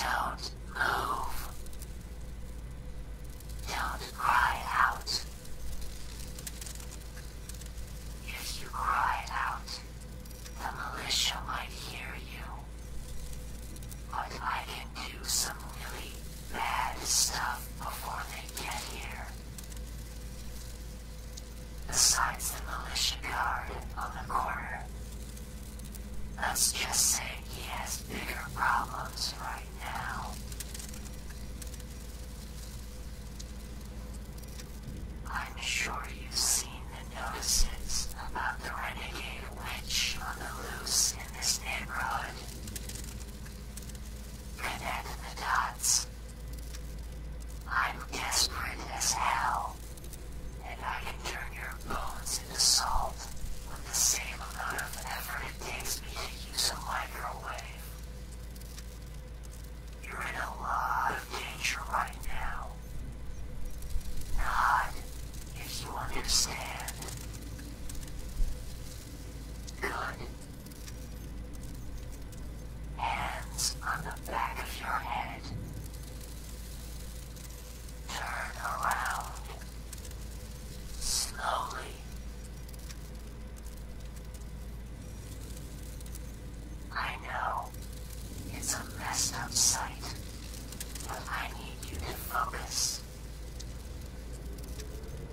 Don't move. Don't cry out. If you cry out, the militia might hear you. I can do some really bad stuff before they get here. Besides the militia guard on the corner. Let's just say he has bigger problems right now. I'm sure you've seen the notices about the renegade witch on the loose in this neighborhood. Connect the dots. I'm desperate as hell, and I can turn your bones into salt with the same amount of effort it takes me to use a microwave. You're in a lot of danger right now. Nod if you understand. Good. Hands on the back of your head. Turn around. Slowly. I know. It's a messed up sight. I need you to focus.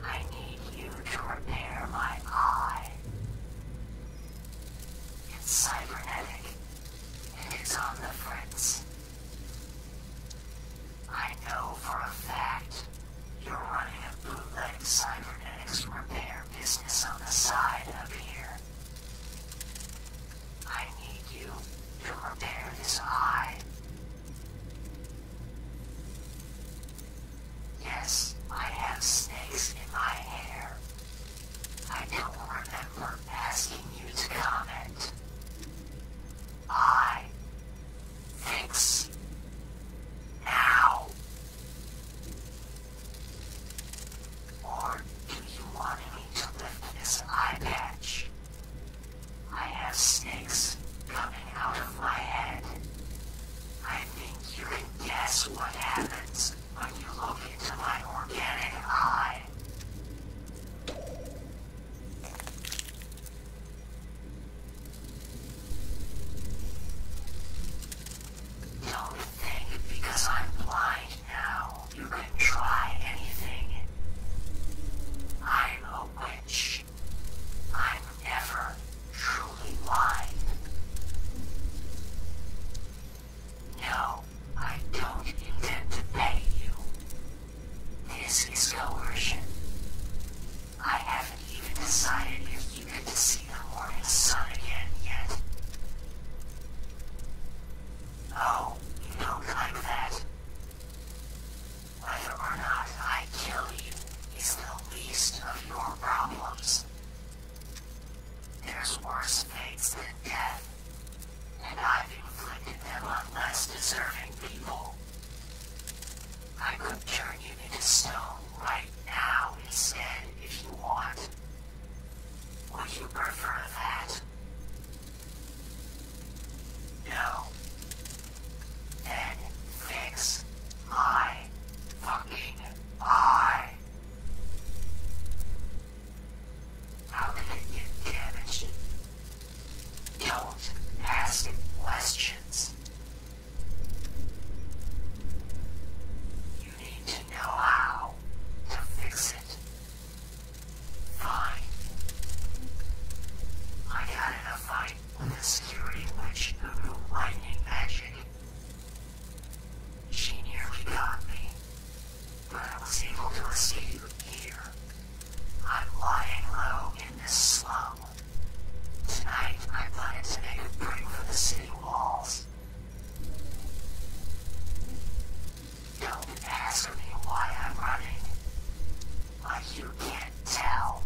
I need you to repair my eye. It's cybernetic, and it's on the fritz. I know for a fact you're running a bootleg cybernetics repair business on the side up here. I need you to repair this eye. Yes, I have snakes in my hair. I don't remember asking you to comment. I fix now. Or if you wanted me to lift this eye patch. I have snakes coming out of my head. I think you can guess what happens when you look into my organic eye. Don't think because I'm blind now you can try anything. I'm a witch. I'm never truly blind. No, I don't intend to pay you. This is coercion. I haven't even decided if you get to see the morning sun again yet. Oh, don't like that. Whether or not I kill you is the least of your problems. There's worse fates than death, and I've inflicted them on less deserving people. I could turn you into stone right now instead if you want. Would you prefer that? No. Then fix my fucking eye. How can it get damaged? Don't ask questions. You need to know how to fix it. Fine. I got a fight with a security witch who knew lightning magic. She nearly got me, but I was able to escape here. I'm lying low in this slum. Tonight I plan to make a break for the city walls. Don't ask me why I'm running. Why you can't tell.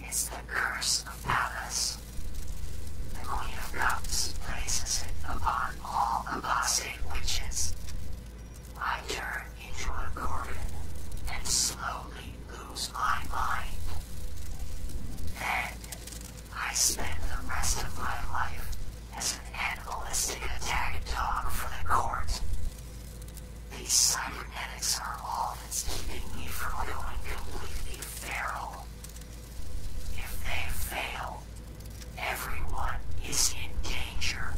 It's the curse of Pallas. The Queen of Cups places it upon all apostate witches. I turn into a gorgon and slowly lose my mind. Then I spent the rest of my life as an animalistic attack dog for the court. The cybernetics are all that's keeping me from going completely feral. If they fail, everyone is in danger.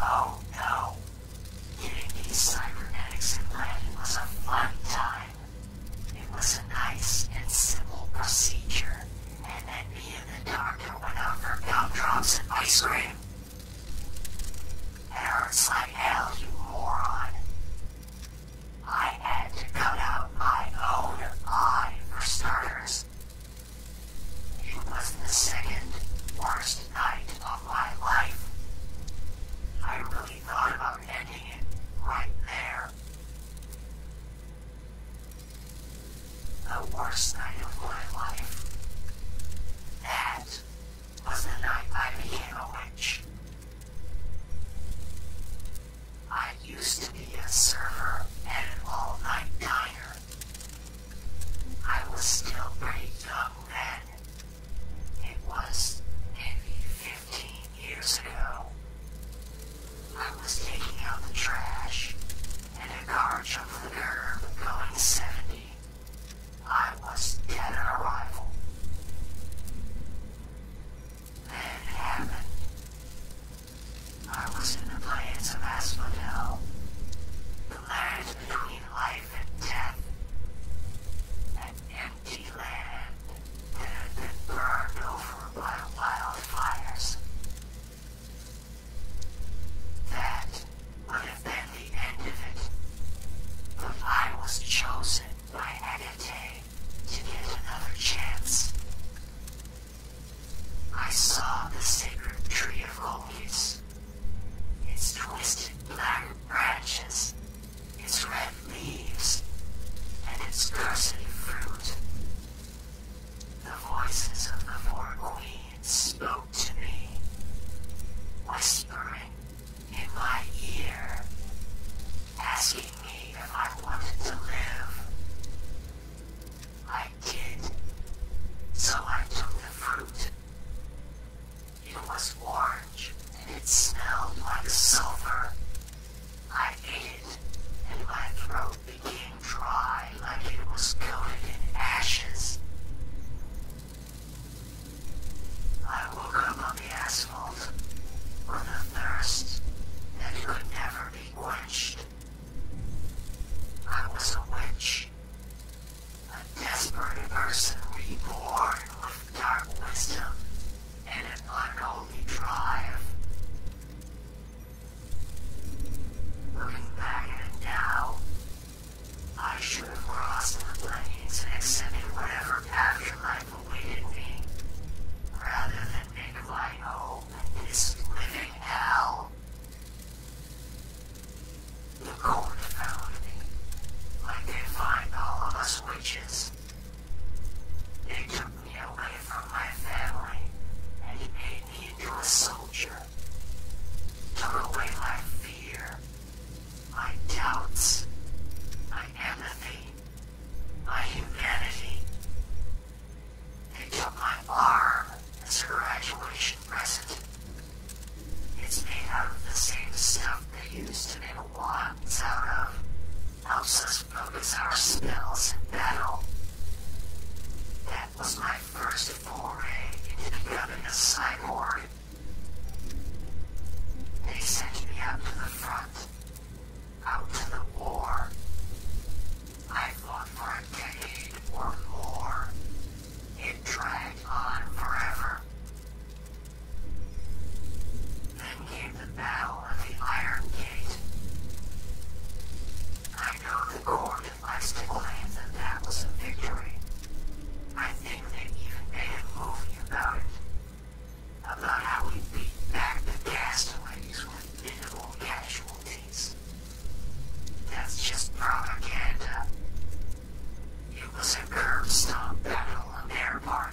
Oh no. Getting these cybernetics in was a fun time. It was a nice and simple procedure, and then me and the doctor went out for gumdrops and ice cream. It hurts hell, you moron. I had to cut out my own eye for starters. It was the second worst night of my life. I really thought right there. The worst night of my life. That was the night I became a witch. I used to be a server at an all-night diner. I was still pretty young then, it was maybe 15 years ago. I was taking out the trash, and a car jumped the curb going 70. I was dead on arrival. Then it I was in the plains of Asphodel, the land between life and death empty land that had been burned over by wildfires. That would have been the end of it, but I was chosen by Agate to get another chance. I saw the sacred tree of Colchis, its twisted black branches its red leaves, and its cursive fruit. The voices of the four queens spoke to me, whispering in my ear, asking me if I wanted to live. I did, so I took the fruit. It was orange and it smelled like silver. I ate it and my throat became dry like it was coated in ashes. I woke up on the asphalt with a thirst that could never be quenched. I was a witch, a desperate person reborn with dark wisdom and an unholy drive. Looking back at it now, I should have crossed the plains and accepted whatever afterlife awaited me, rather than make my home in this living hell. The court found me, like they find all of us witches. They took me away from my family and they made me into a soldier. Took away my fear, my doubts, my empathy, my humanity. They took my arm as a graduation present. It's made out of the same stuff they used to make wands out of. Helps us focus our spells in battle. That was my first foray into becoming a cyborg. They sent me out to the front, out to the war. I fought for a decade or more, it dragged on forever. Then came the Battle of the Iron Gate. I know the court likes to claim that that was a victory. I think they even made a movie about it. About how we beat back the castaways with minimal casualties. That's just propaganda. It was a curb-stop battle of airborne.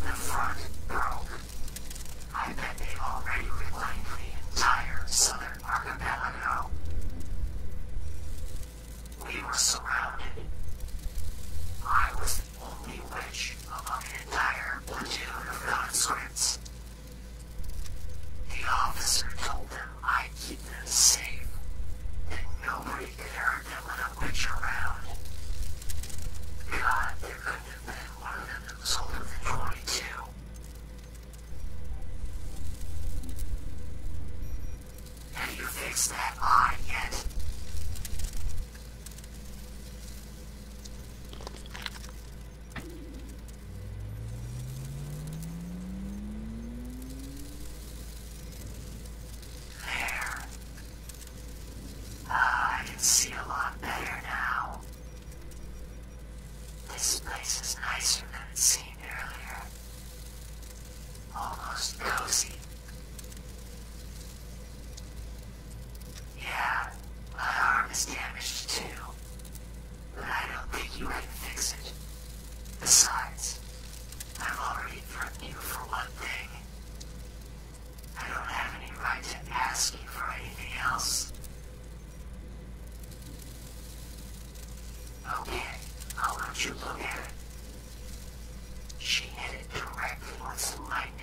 The front broke. I bet they've already reclaimed the entire southern archipelago. We were surrounded. I was the only witch among the entire platoon of conscripts. The officer told them I keep them safe, and nobody could hurt them with a witch around. God, there couldn't have been one of them that was older than 22. Have you fixed that eye yet? There. Ah, I can see a lot better now. This place is nicer than it seemed earlier. Almost cozy. Yeah, my arm is damaged too. But I don't think you can fix it. Besides, I've already threatened you for one thing. I don't have any right to ask you for anything else. Okay, I'll let you look at it. She hit it directly with lightning.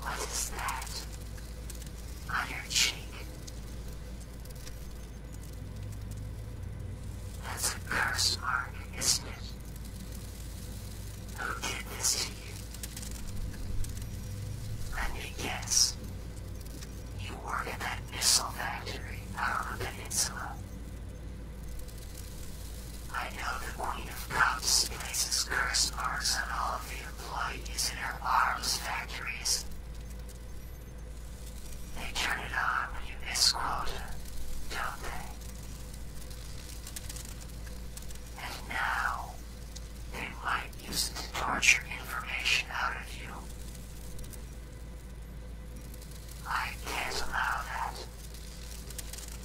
What is that on her cheek? That's a curse mark, isn't it? Who did this to you? Let guess. You work at that missile factory out on the peninsula. I know the Queen of Cups places curse marks on all of you. The light is in our arms factories. They turn it on when you miss don't they? And now, they might use it torture information out of you. I can't allow that.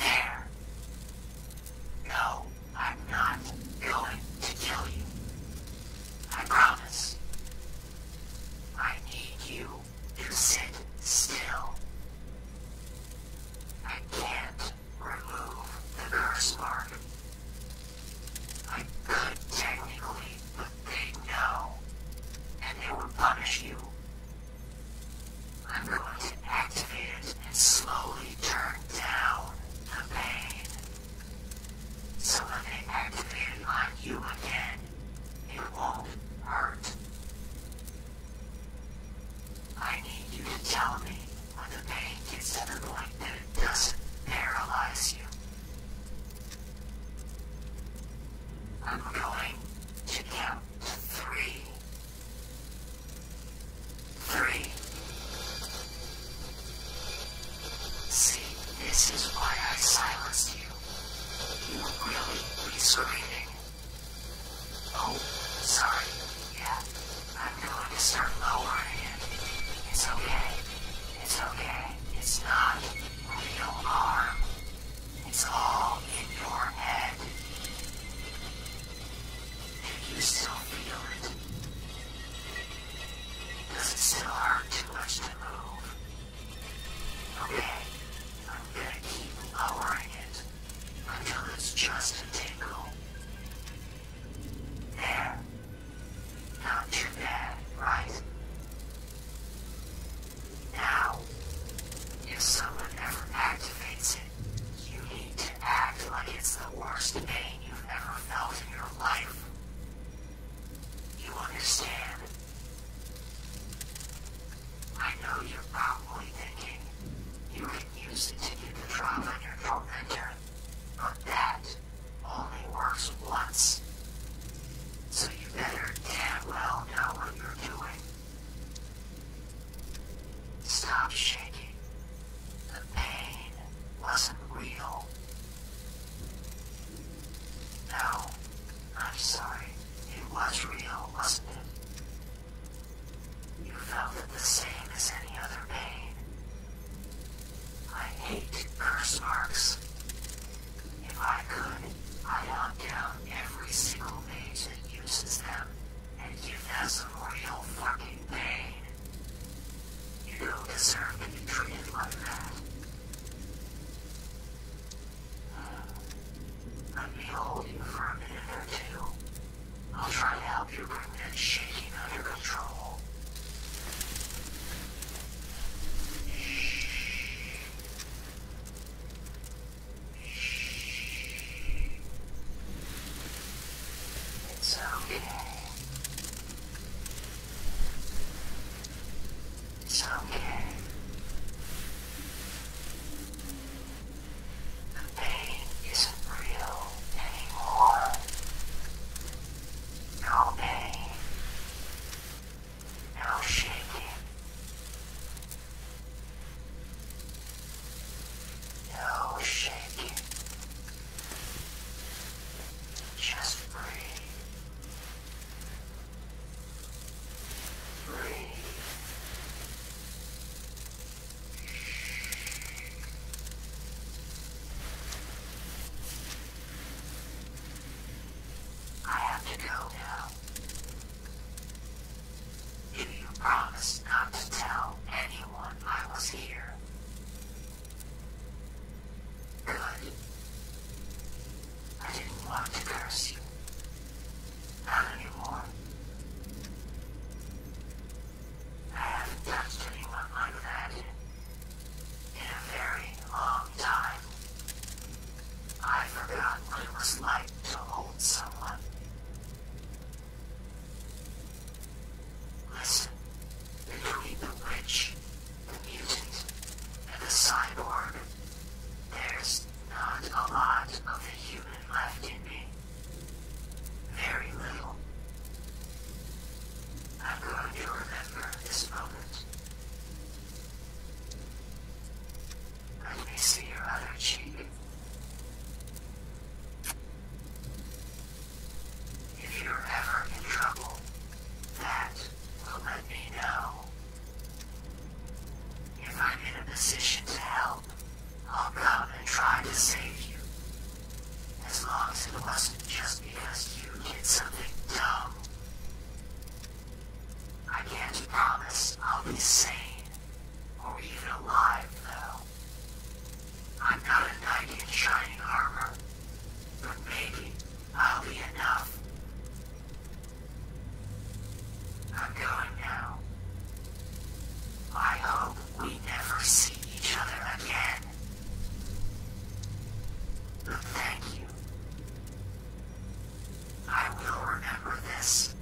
There. No, I'm not going to kill you. I promise. I need you to sit still. I can't remove the curse mark. I could technically, but they know, and they will punish you I'm going to activate it and slowly turn down the pain. So when they activate on you again, it won't hurt. I need you to tell me when the pain gets to the point that doesn't paralyze you. I'm going to count three, three. See, this is why I silenced you. You would really be Oh, sorry. Yeah, I'm going to start lowering it. It's okay. It's okay. It's not real harm. It's all in your head. Do you still feel it? Does it still hurt too much to move? Okay, I'm gonna keep lowering it until it's just a tickle. There. Not too bad, right? Now, if someone ever activates it, you need to act like it's the worst pain you've ever felt in your life. You understand? I know you're probably thinking you can use it to do the job on your tormentor, but that only works once so you better damn well know what you're doing. Stop shaking. The pain wasn't real. No, I'm sorry. It was real, wasn't it? You felt the same as any other pain. I hate curse marks. If I could, I'd hunt down every single agent uses them and give them some real fucking pain. You don't deserve to be treated like that. Let me hold you for a minute or two. I'll try to help you bring that shaking under control. It's okay. It's okay. The pain isn't real anymore. No pain and I'll shake I'll shake Just breathe. Breathe. I have to go now. If you promise not to tell anyone I was here. Good. I didn't want to curse you. Not anymore. I haven't touched anyone like that in a very long time. I forgot what it was like to hold someone. Listen, between the witch, the mutant, and the cyborg, there's not a lot of the human left in me. Very little. I'm going remember this moment. Let me see your other cheek. If you're ever in trouble, that will let me know. If I'm in a position to help, I'll come and try to save you. As long as it wasn't just because you did something dumb. I can't promise I'll be sane or even alive, though. I'm not a knight in shining armor, but maybe I'll be enough. I'm going now. I hope we never see each other again. thank you. I will remember this.